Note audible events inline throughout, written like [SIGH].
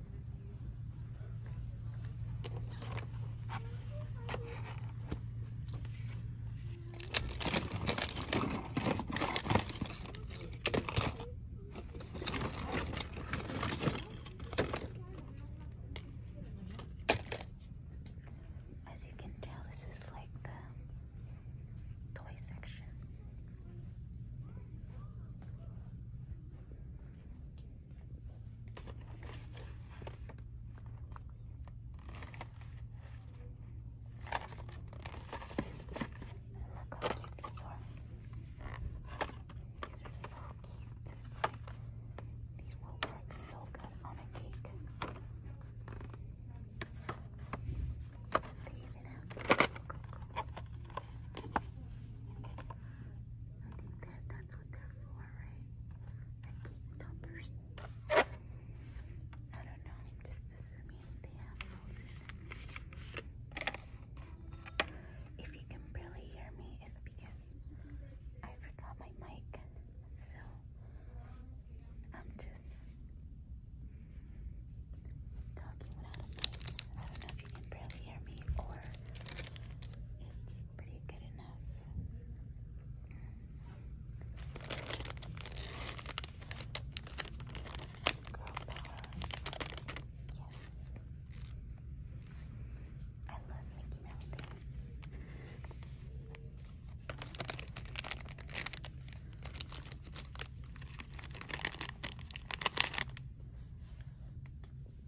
As you can tell, this is like the toy section. Look how cute these are. These are so cute. These will work so good on a cake. They even have cocoa. I think they're the that's what they're for, right? cake toppers. I don't know, just assuming they have those If you can barely hear me, it's because I forgot my mic. So I'm just talking without a mic if you can barely hear me or it's pretty good enough. Yes. I love Mickey Mouse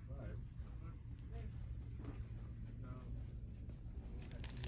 twenty-five. Oh, these are so cute.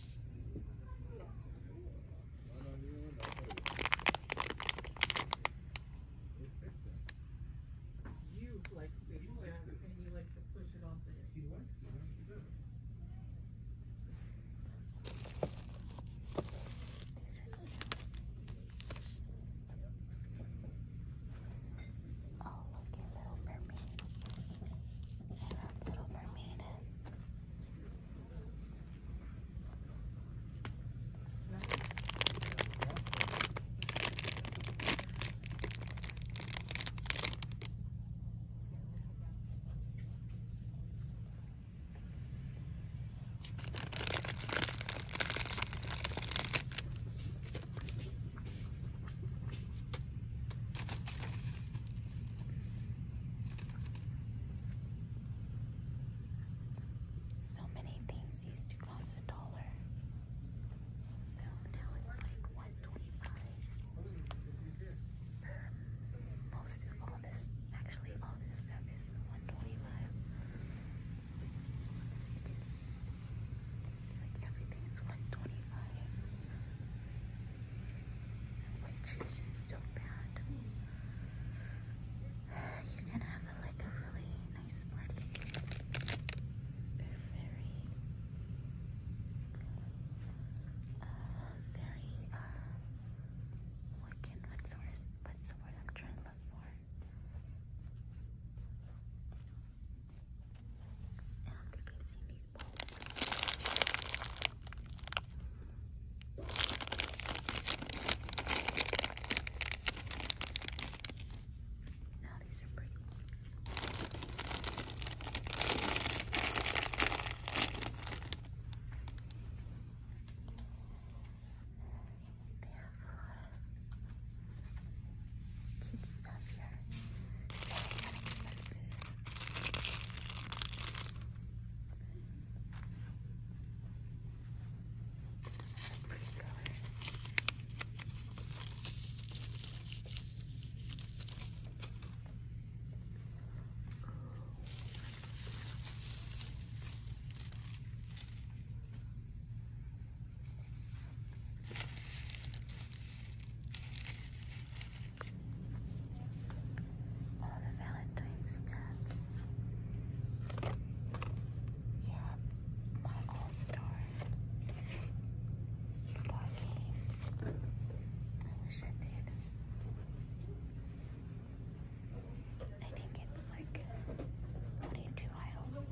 You you like like space, and to Oh, look at Little Mermaid. Little Mermaid. No. So many things used to cost a dollar. So now it's like 125 Most of all this, actually all this stuff is 125 As you can see. It's like 125. White juice is still bad. [SIGHS] You can have like a really nice party. They're very, uh, very, uh, what can, what's the word, what's the word I'm trying to look for? Um, they see me these bowls. Now these are pretty. They have a lot of cute stuff here. Very inexpensive. Pretty color. All the Valentine's stuff. Yeah, my all-star. You bought game. I wish I did. I think it's like 22 aisles.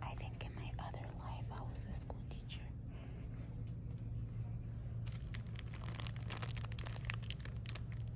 I think in my other life I was a school teacher.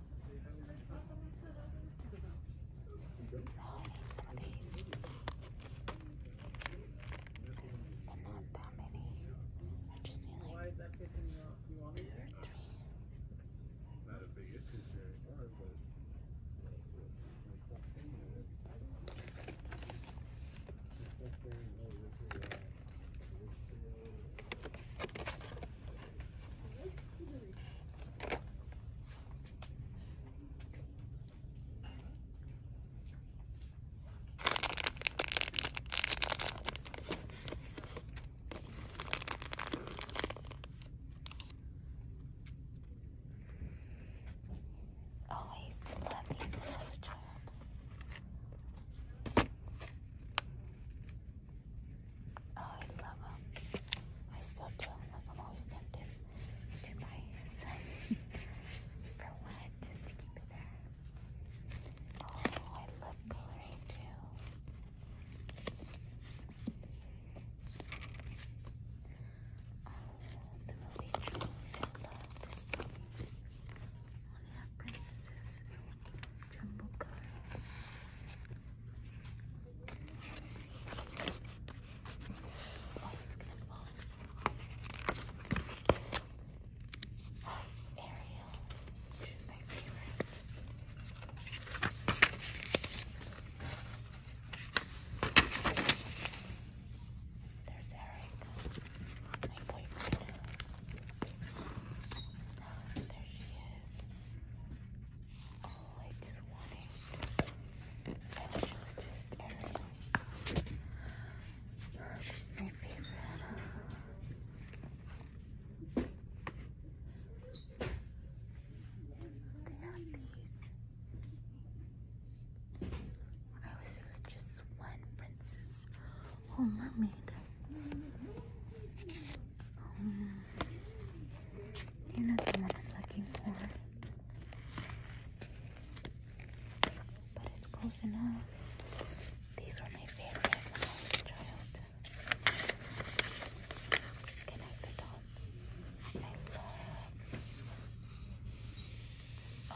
But not that many. I just need like two or three. Not a big issue there, but that's very low. Always did love these when a child. Oh, I love them. I still do Like I'm always tempted to my [LAUGHS] some. For what? Just to keep it there. Oh, I love coloring too. Oh, the movie jumbo cards. Oh, my favorite. There's Eric, my boyfriend. There she is. Always wanting just Ariel. She's my favorite. They have these. I wish there was just one princess Oh, mermaid. Um, you're not the one I'm looking for. But it's close enough. These were my favorite Connect the dots. I love oh,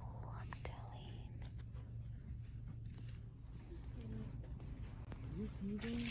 Oh, I'm telling. Oh, okay.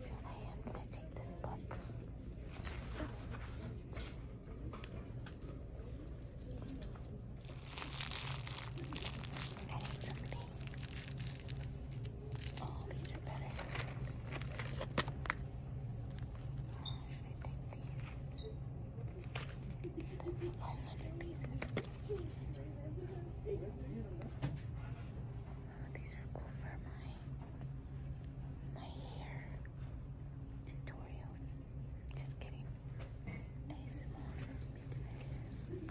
So I am going to take this book. I need something. Oh, these are better. Uh, I take these? That's fun little pieces. Uh, these are cool for my my hair tutorials. Just kidding. ASMR videos.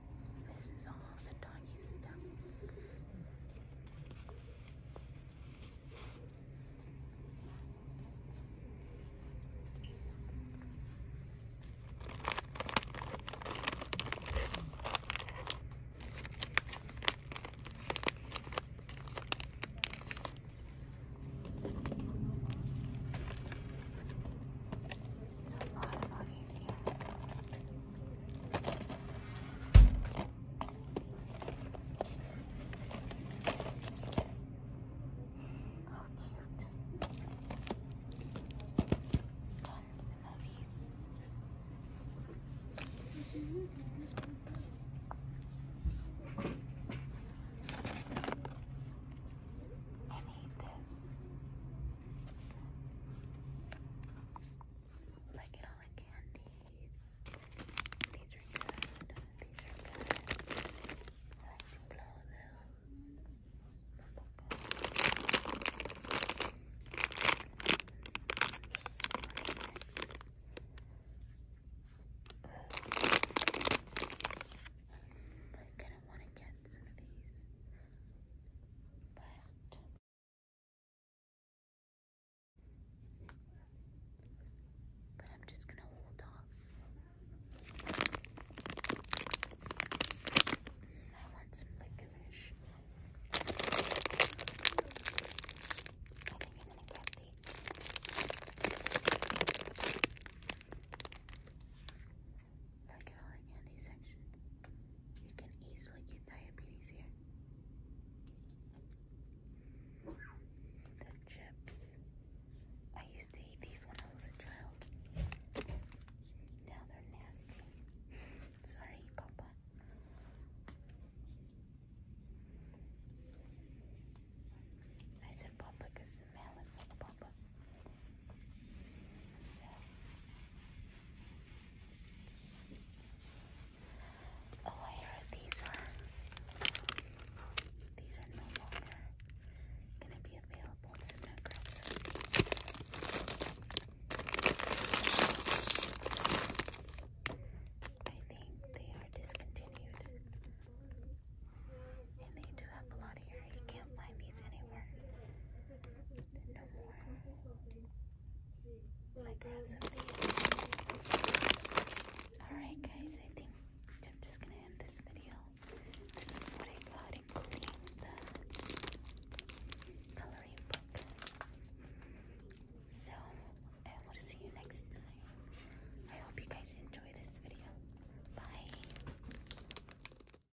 This is all the doggy stuff. It's a lot of bodies here. I need this. Like it all the candies. These are good. These are good. Let's blow those. I'm gonna want to get some of these, but but I'm just going to hold off. I want some licorice. I think I'm going to grab these. Look at all the candy section. You can easily get diabetes here. The chips. I used to eat these when I was a child. Now they're nasty. Sorry, Papa. I said Papa because the man looks like Papa. So oh I heard these are these are no longer gonna be available so i I think they are discontinued and they do have a lot of hair. You can't find these anywhere. Alright guys, I think I'm just gonna end this video. This is what I got including the coloring book. So I will see you next time. I hope you guys enjoy this video. Bye.